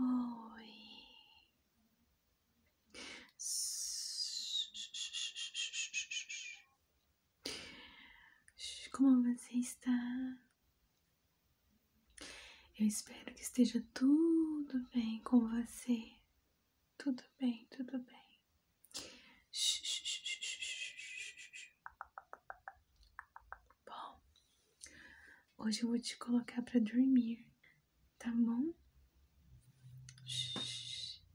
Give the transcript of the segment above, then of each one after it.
Oi. Como você está? Eu espero que esteja tudo bem com você. Tudo bem, tudo bem. Bom, hoje eu vou te colocar para dormir, tá bom?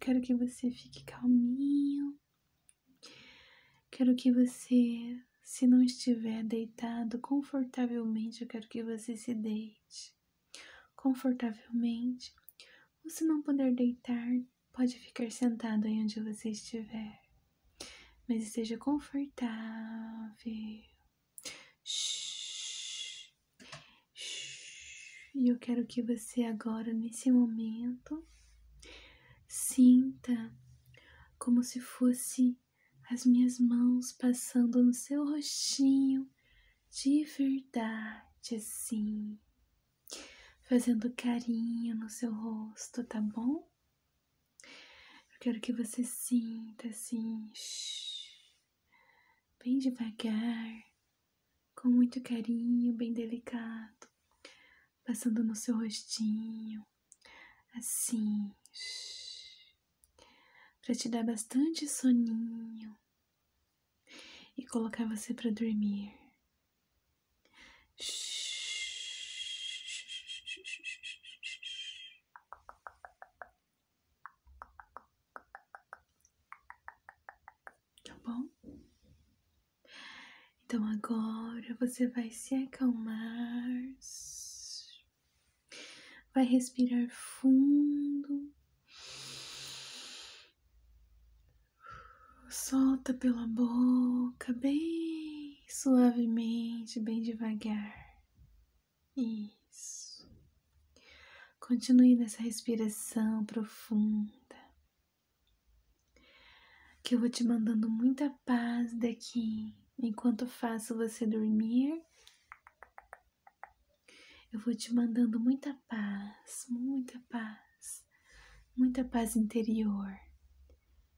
Quero que você fique calminho. Quero que você, se não estiver deitado confortavelmente, eu quero que você se deite confortavelmente. Ou se não puder deitar, pode ficar sentado aí onde você estiver, mas esteja confortável. Shhh. Shhh. E eu quero que você agora, nesse momento, sinta como se fosse as minhas mãos passando no seu rostinho de verdade assim fazendo carinho no seu rosto, tá bom? Eu quero que você sinta assim, bem devagar, com muito carinho, bem delicado, passando no seu rostinho, assim, para te dar bastante soninho e colocar você para dormir. Tá bom? Então agora você vai se acalmar, vai respirar fundo Solta pela boca, bem suavemente, bem devagar. Isso. Continue nessa respiração profunda. Que eu vou te mandando muita paz daqui enquanto faço você dormir. Eu vou te mandando muita paz, muita paz muita paz interior.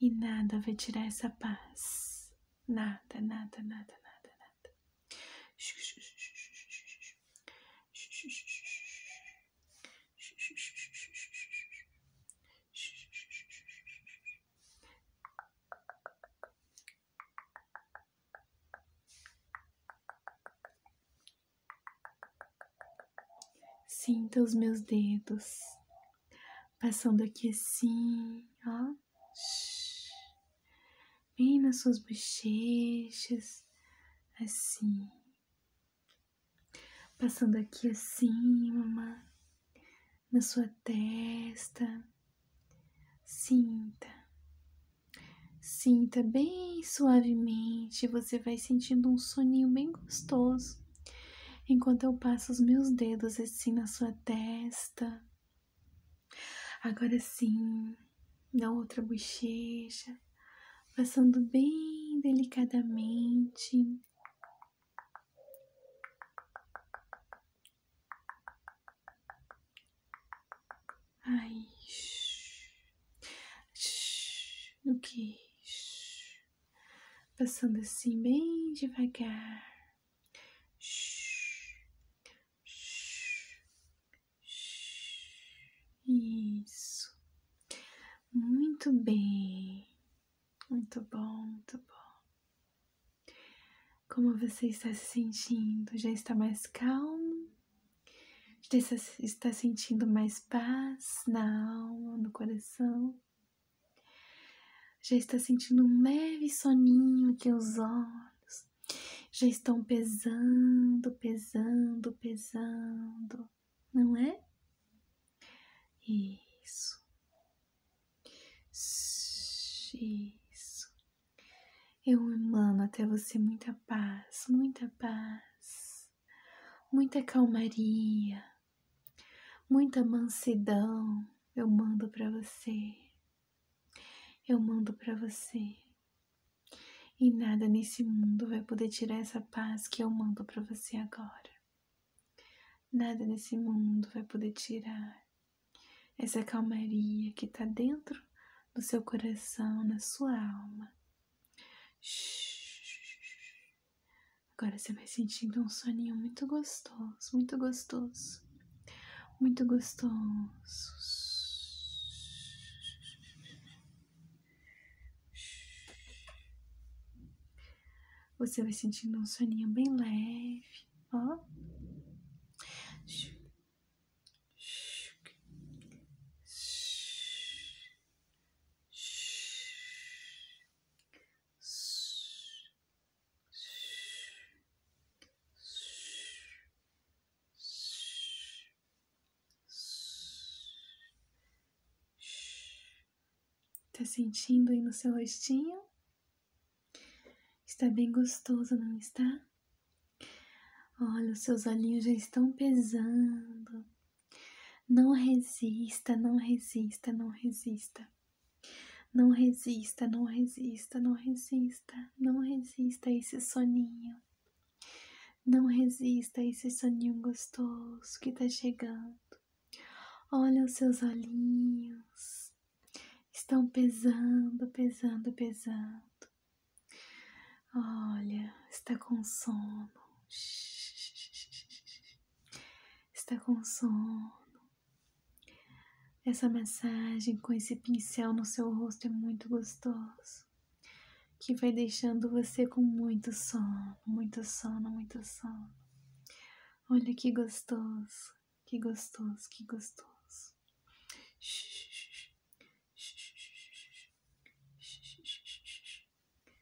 E nada vai tirar essa paz. Nada, nada, nada, nada, nada. Sinta os meus dedos passando aqui assim, ó, bem nas suas bochechas, assim, passando aqui assim, acima, na sua testa. Sinta, sinta bem suavemente. Você vai sentindo um soninho bem gostoso, enquanto eu passo os meus dedos assim na sua testa. Agora sim, na outra bochecha, passando bem delicadamente. Aí, shh, shh, no queixo, passando assim bem devagar. Isso. Muito bem. Muito bom, muito bom. Como você está se sentindo? Já está mais calmo? Você está sentindo mais paz na alma, no coração. Já está sentindo um leve soninho aqui os olhos. Já estão pesando, pesando, pesando. Não é? Isso. Isso. Eu emano até você muita paz, muita paz muita calmaria, muita mansidão. Eu mando para você. Eu mando para você. E nada nesse mundo vai poder tirar essa paz que eu mando para você agora. Nada nesse mundo vai poder tirar essa calmaria que está dentro do seu coração, na sua alma. Shh. Agora você vai sentindo um soninho muito gostoso, muito gostoso, muito gostoso. Você vai sentindo um soninho bem leve, ó. Tá sentindo aí no seu rostinho? Está bem gostoso, não está? Olha, os seus olhinhos já estão pesando. Não resista, não resista, não resista. Não resista, não resista, não resista. Não resista a esse soninho. Não resista a esse soninho gostoso que está chegando. Olha os seus olhinhos. Estão pesando, pesando, pesando. Olha, está com sono está com sono. Essa massagem com esse pincel no seu rosto é muito gostoso, que vai deixando você com muito sono, muito sono, muito sono. Olha que gostoso, que gostoso, que gostoso.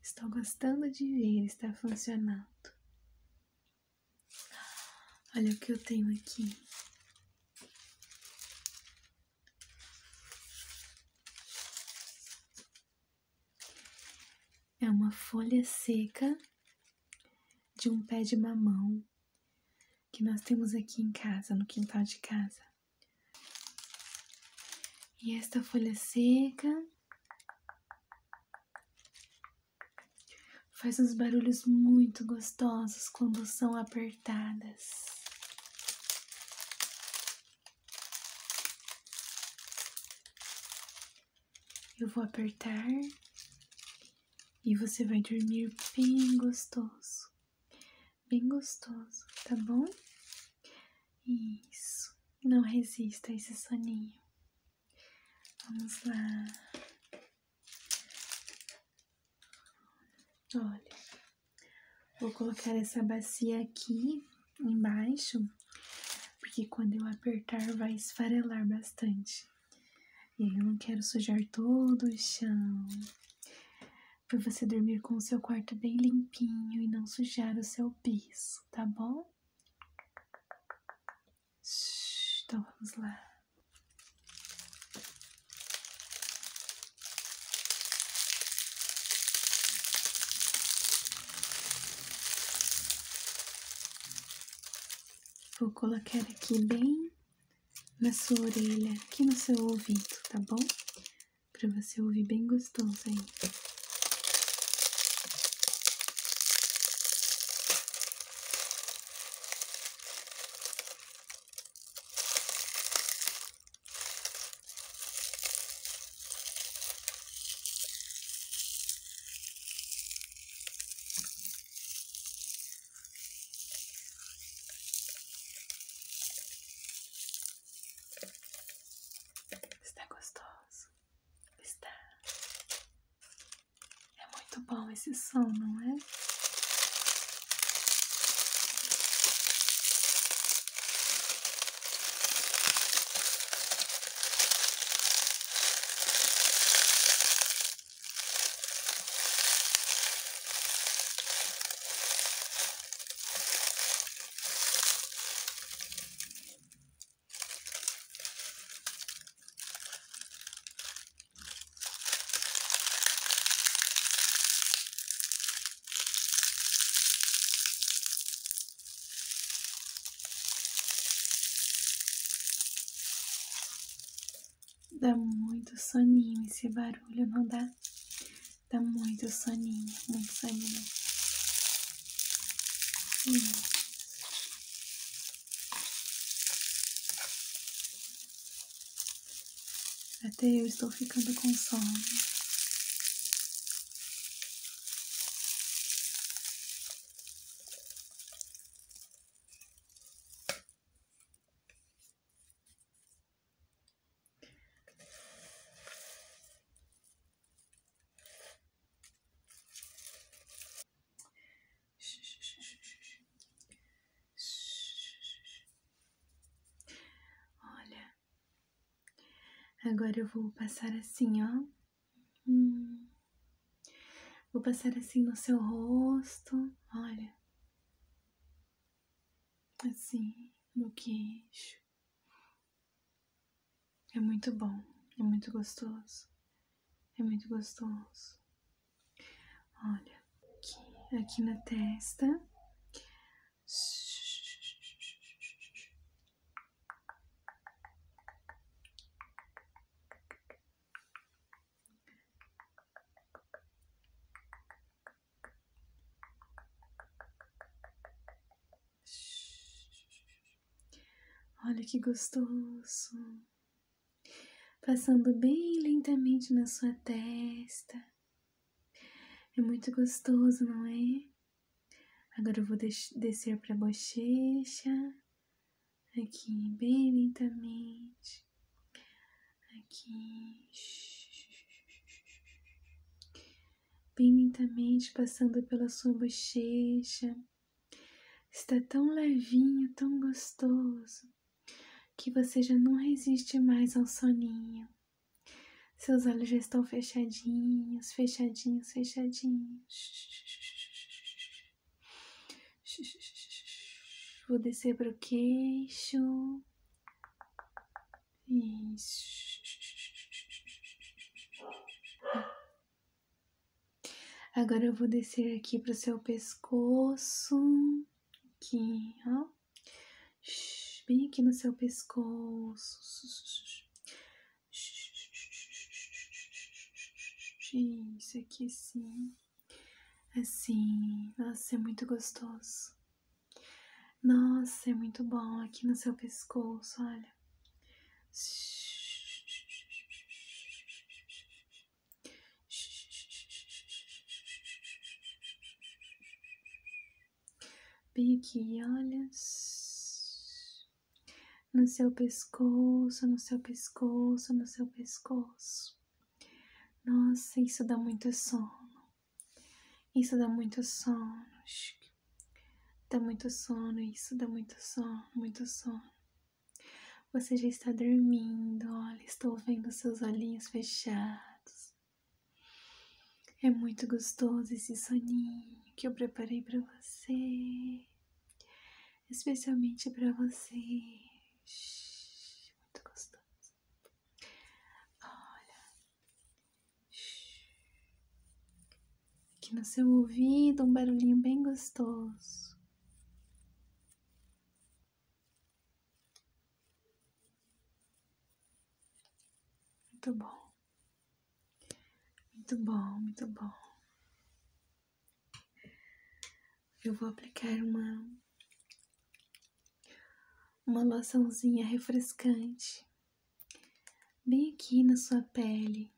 Estou gostando de ver, está funcionando. Olha o que eu tenho aqui. É uma folha seca de um pé de mamão que nós temos aqui em casa, no quintal de casa. E esta folha seca Faz uns barulhos muito gostosos quando são apertadas. Eu vou apertar e você vai dormir bem gostoso, bem gostoso, tá bom? Isso, não resista a esse soninho. Vamos lá. Olha, vou colocar essa bacia aqui embaixo, porque quando eu apertar vai esfarelar bastante. E eu não quero sujar todo o chão. Para você dormir com o seu quarto bem limpinho e não sujar o seu piso, tá bom? Então vamos lá. Vou colocar aqui bem na sua orelha, aqui no seu ouvido, tá bom? Para você ouvir bem gostoso aí. Está gostoso. Está. É muito bom esse som, não é? Dá muito soninho esse barulho, não dá? Dá muito soninho, muito soninho. Hum. Até eu estou ficando com sono. Olha, agora eu vou passar assim, ó. Hum. Vou passar assim no seu rosto, olha. Assim, no queixo. É muito bom, é muito gostoso, é muito gostoso. Olha, aqui, na testa. Olha que gostoso. Passando bem lentamente na sua testa. É muito gostoso, não é? Agora eu vou descer para a bochecha. Aqui, bem lentamente. Aqui. Bem lentamente, passando pela sua bochecha Está tão levinho, tão gostoso, que você já não resiste mais ao soninho. Seus olhos já estão fechadinhos, fechadinhos, fechadinhos. Vou descer para o queixo. Isso. Agora eu vou descer aqui para o seu pescoço, aqui, ó, bem aqui no seu pescoço. Isso aqui sim, assim, nossa, é muito gostoso. Nossa, é muito bom aqui no seu pescoço, olha. Pique e olha no seu pescoço, no seu pescoço, no seu pescoço. Nossa, isso dá muito sono. Isso dá muito sono. Dá muito sono, isso dá muito sono, muito sono. Você já está dormindo, olha, estou vendo seus olhinhos fechados. É muito gostoso esse soninho que eu preparei para você, especialmente para você. Muito gostoso. Olha, aqui no seu ouvido, um barulhinho bem gostoso. Muito bom, muito bom, muito bom. Eu vou aplicar uma uma loçãozinha refrescante bem aqui na sua pele.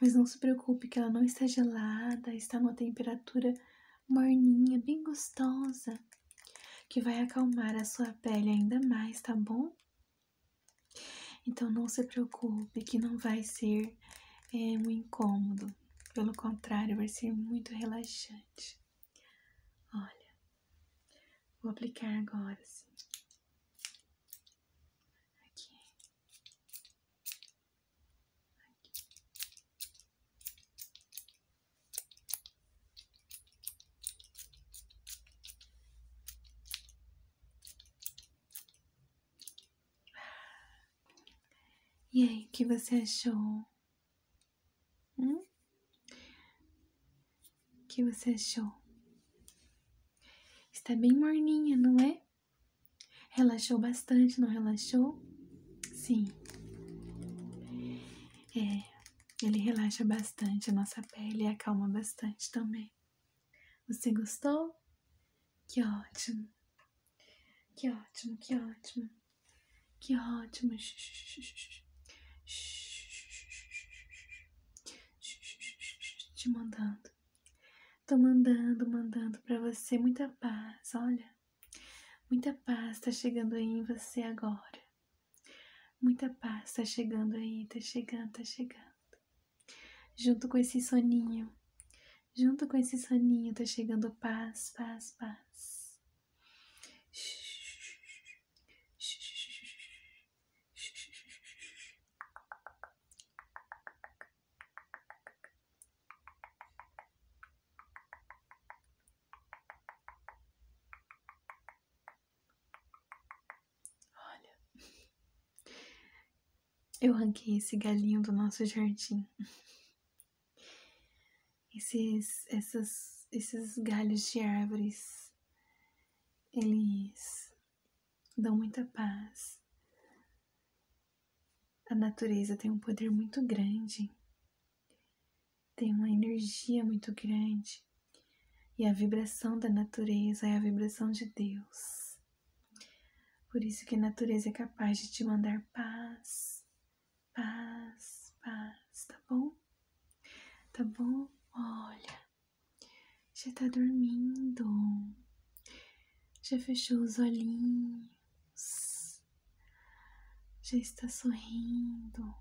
Mas não se preocupe que ela não está gelada, está numa temperatura morninha, bem gostosa, que vai acalmar a sua pele ainda mais, tá bom? Então não se preocupe que não vai ser é, um incômodo, pelo contrário, vai ser muito relaxante. Olha, vou aplicar agora, assim. Aqui. E aí, o que você achou? Hum? O que você achou? Está bem morninha, não é? Relaxou bastante, não relaxou? Sim. É, ele relaxa bastante a nossa pele e acalma bastante também. Você gostou? Que ótimo. Que ótimo, que ótimo. Que ótimo. Te mandando Tô mandando, mandando para você muita paz, olha. Muita paz tá chegando aí em você agora. Muita paz tá chegando aí, tá chegando, tá chegando. Junto com esse soninho, junto com esse soninho tá chegando paz, paz, paz. Olha, eu ranquei esse galinho do nosso jardim. Esses, essas, esses galhos de árvores, eles dão muita paz. A natureza tem um poder muito grande, tem uma energia muito grande, e a vibração da natureza é a vibração de Deus. Por isso que a natureza é capaz de te mandar paz, paz, paz, tá bom? Tá bom? Olha, já tá dormindo. Já fechou os olhinhos. Já está sorrindo.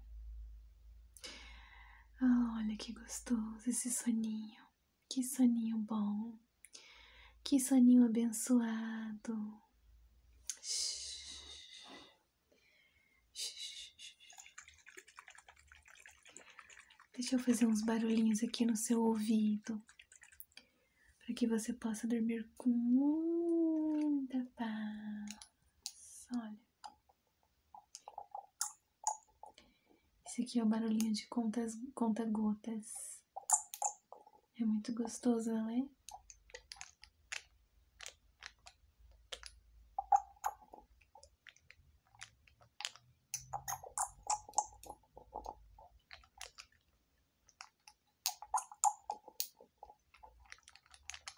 Oh, olha que gostoso esse soninho. Que soninho bom. Que soninho abençoado. Deixa eu fazer uns barulhinhos aqui no seu ouvido para que você possa dormir com muita paz. Olha, esse aqui é o barulhinho de contas, conta gotas. É muito gostoso, não é?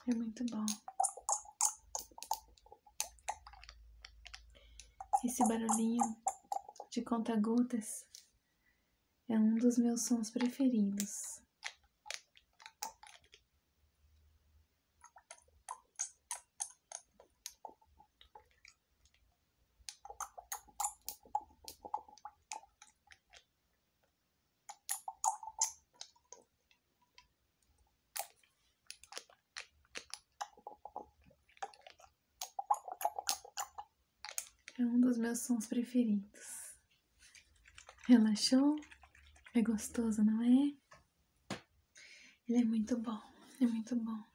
É muito bom. Esse barulhinho de conta-gotas é um dos meus sons preferidos. É um dos meus sons preferidos. Relaxou? É gostoso, não é? Ele é muito bom, é muito bom.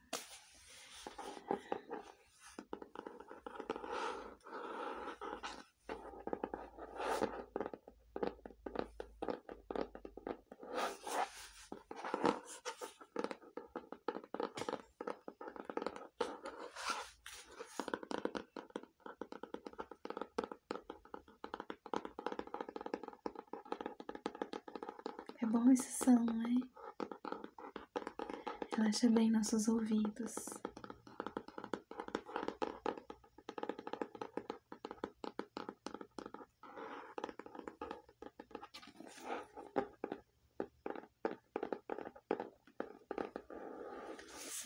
É bom esse som, hein? Relaxa bem nossos ouvidos.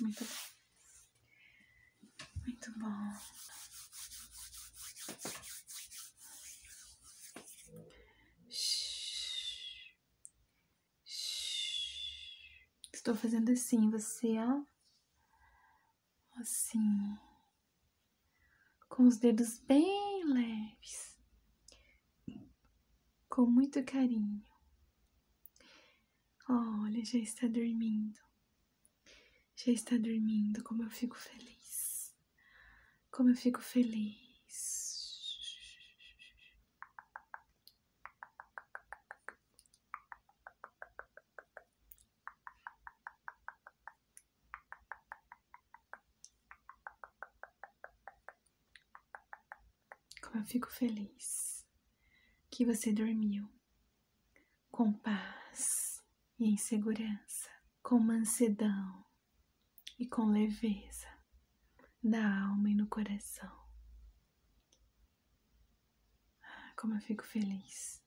Muito bom. Muito bom. Estou fazendo assim, você, ó. É assim. Com os dedos bem leves. Com muito carinho. Olha, já está dormindo. Já está dormindo, como eu fico feliz. Como eu fico feliz. Como eu fico feliz que você dormiu com paz e em segurança, com mansidão e com leveza da alma e no coração. Ah, como eu fico feliz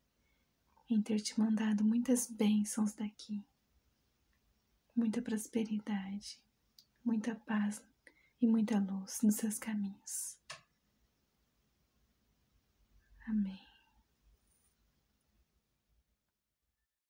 em ter te mandado muitas bênçãos daqui, muita prosperidade, muita paz e muita luz nos seus caminhos. Amém.